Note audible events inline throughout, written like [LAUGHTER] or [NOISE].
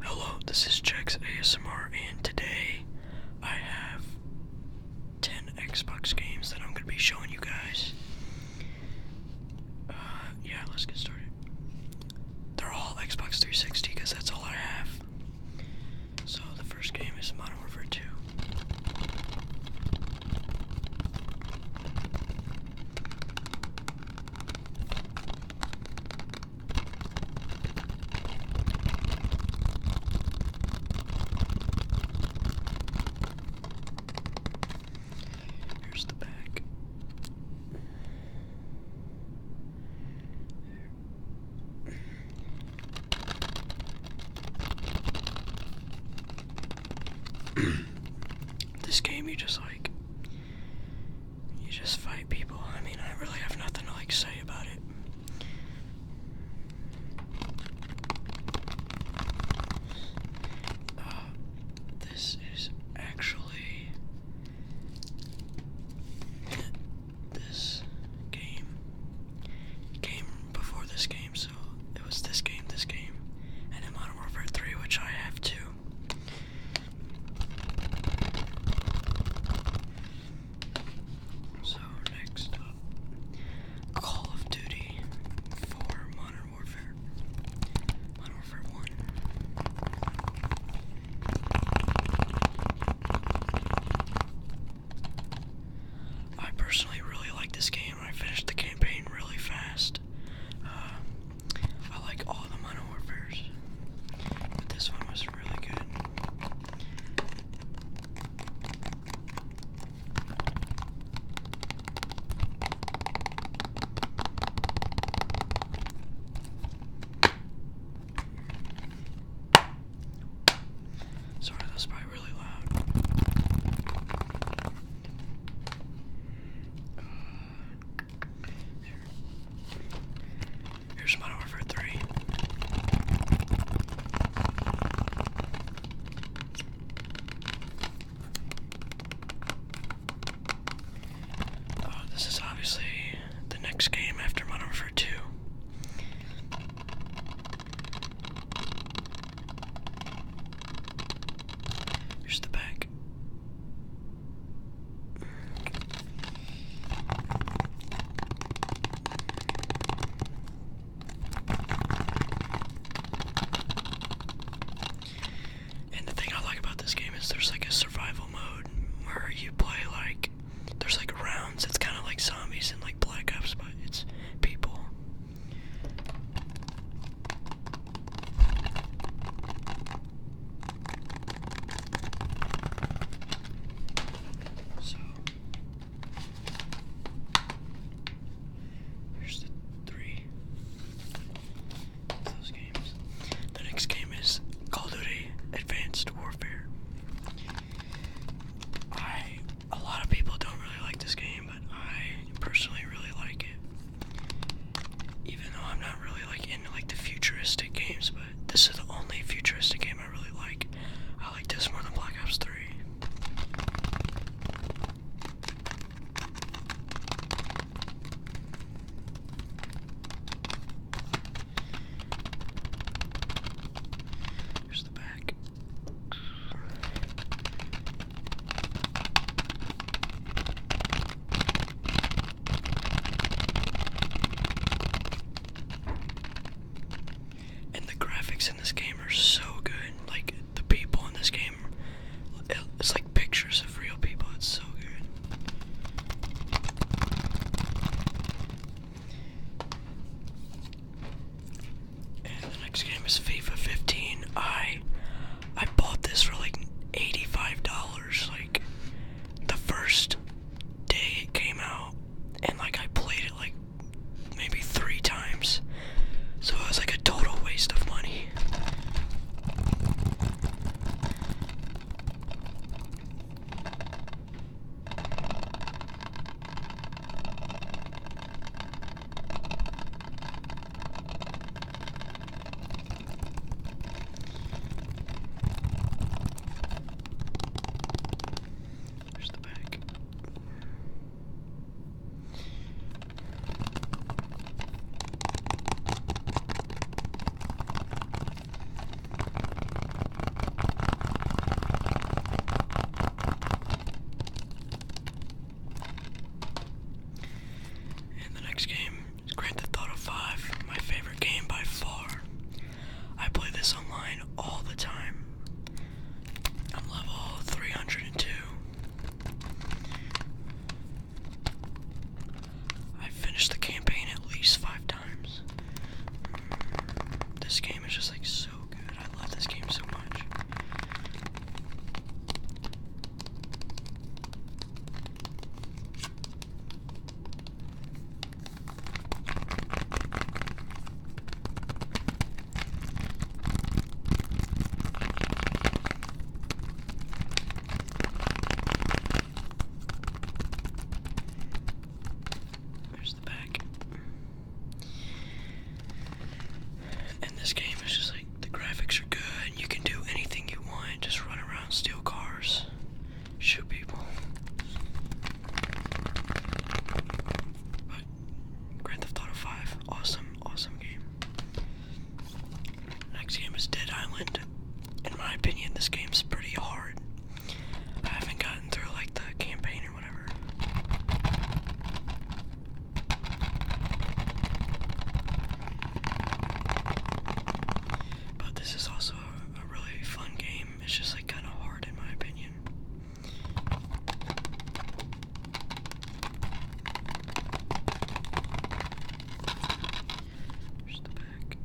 Hello, this is Jax ASMR, and today I have 10 Xbox games that I'm going to be showing you guys. Uh, yeah, let's get started. They're all Xbox 360 because that's all I have. So the first game is Modern Warfare 2. Here's the back. this game, you just like you just fight people. I mean, I really have nothing to like say about it. Uh, this is actually this game came before this game, so it was this game, this game, and then Modern Warfare 3, which I have too. So, next up Call of Duty for Modern Warfare. Modern Warfare 1. I personally really like this game. I finished the campaign really fast. Uh, I like all the Modern Warfare's, but this one was really good. Sorry, that's probably really loud. Uh, Here's my number three. Oh, this is obviously the next game after my number two. Here's the back. And the thing I like about this game is there's like a survival mode where you play like there's like rounds. It's kind of like zombies and like Black Ops, but it's people. So here's the three of those games. The next game is Call of Duty Advanced Warfare. I a lot of people don't really like this game, but I personally really like it. Even though I'm not really like into like the futuristic games, but this is the only futuristic game I really like. I like this more than Black Ops 3. Here's the back. And the graphics in this game are so good. Like, the people in this game, it's like pictures of real people. It's so good. And the next game is FIFA 15. I I bought this for like $85. Like the first day it came out, and like I played it like maybe three times, so it was like a total waste of money. There's the back. And the next game Grand Theft Auto 5, my favorite game by far. I play this online all the time. I'm level 302. I've finished the campaign at least five times. Mm, this game is just like so good. I love this game so much. There's the back. And this game is just like the graphics are good, you can do anything you want, just run around, steal cars shoot people. But Grand Theft Auto 5, awesome, awesome game. Next game is Dead Island. In my opinion, this game's pretty hard. I haven't gotten through like the campaign or whatever. But this is also a, really fun game. It's just like kind of hard in my opinion. There's the back.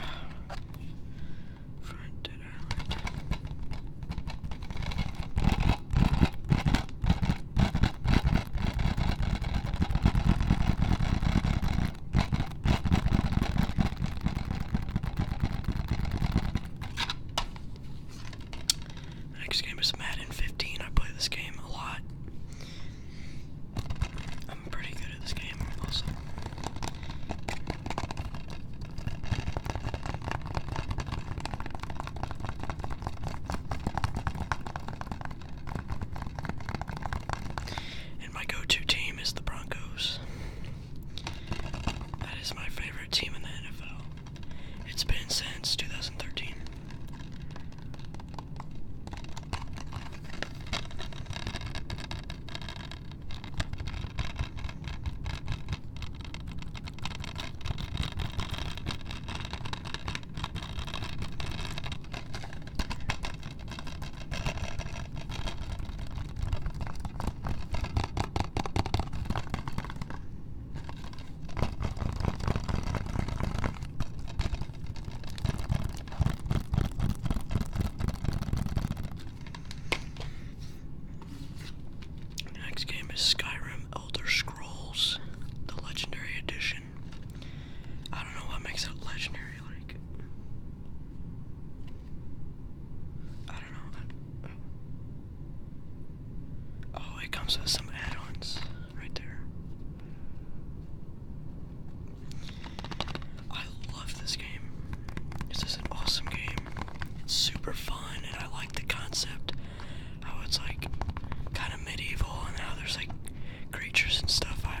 [SIGHS] Front next game is Madden 15. I play this game a lot. I'm pretty good at this game, also. And my go to team is the Broncos. That is my favorite team in the NFL. It's been since 2013. The next game is Skyrim Elder Scrolls, the Legendary Edition. I don't know what makes it legendary. Like, I don't know. Oh, it comes with some add-ons right there. I love this game. This is an awesome game. It's super fun, and I like the concept. How it's like kind of medieval, and how there's like creatures and stuff. I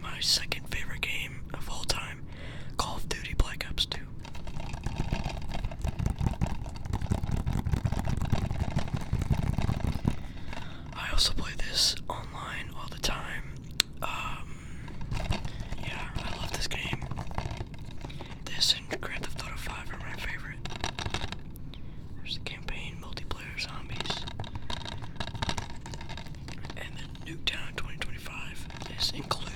my second favorite game of all time, Call of Duty Black Ops 2. I also play this online all the time. Um, yeah, I love this game. This and Grand Theft Auto 5 are my favorite. There's the campaign, multiplayer, zombies and then Nuketown 2025 is included.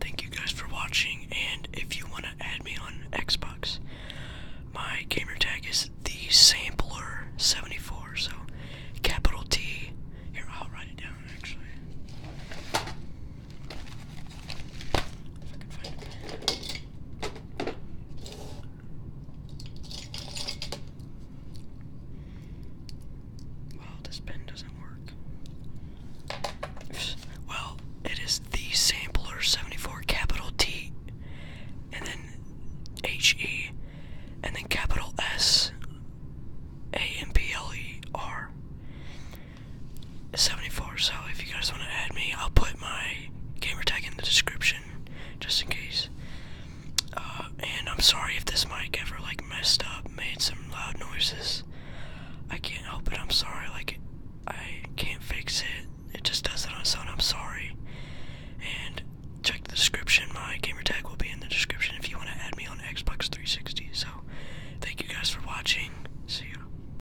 Thank you guys for watching, and if you want to add me on Xbox, my gamer tag is the Sampler74. So, capital T. Here, I'll write it down actually. Well, this pen doesn't work. Well, it is the sampler 74 capital T and then H E and then capital S A M P L E R. 74. So if you guys want to add me, I'll put my gamer tag in the description just in case. Uh, and I'm sorry if this mic ever like messed up, made some loud noises. I can't help it. I'm sorry. Like I can't fix it. It just does it on its own. I'm sorry. And check the description. My gamer tag will be in the description if you want to add me on Xbox 360. So thank you guys for watching. See ya.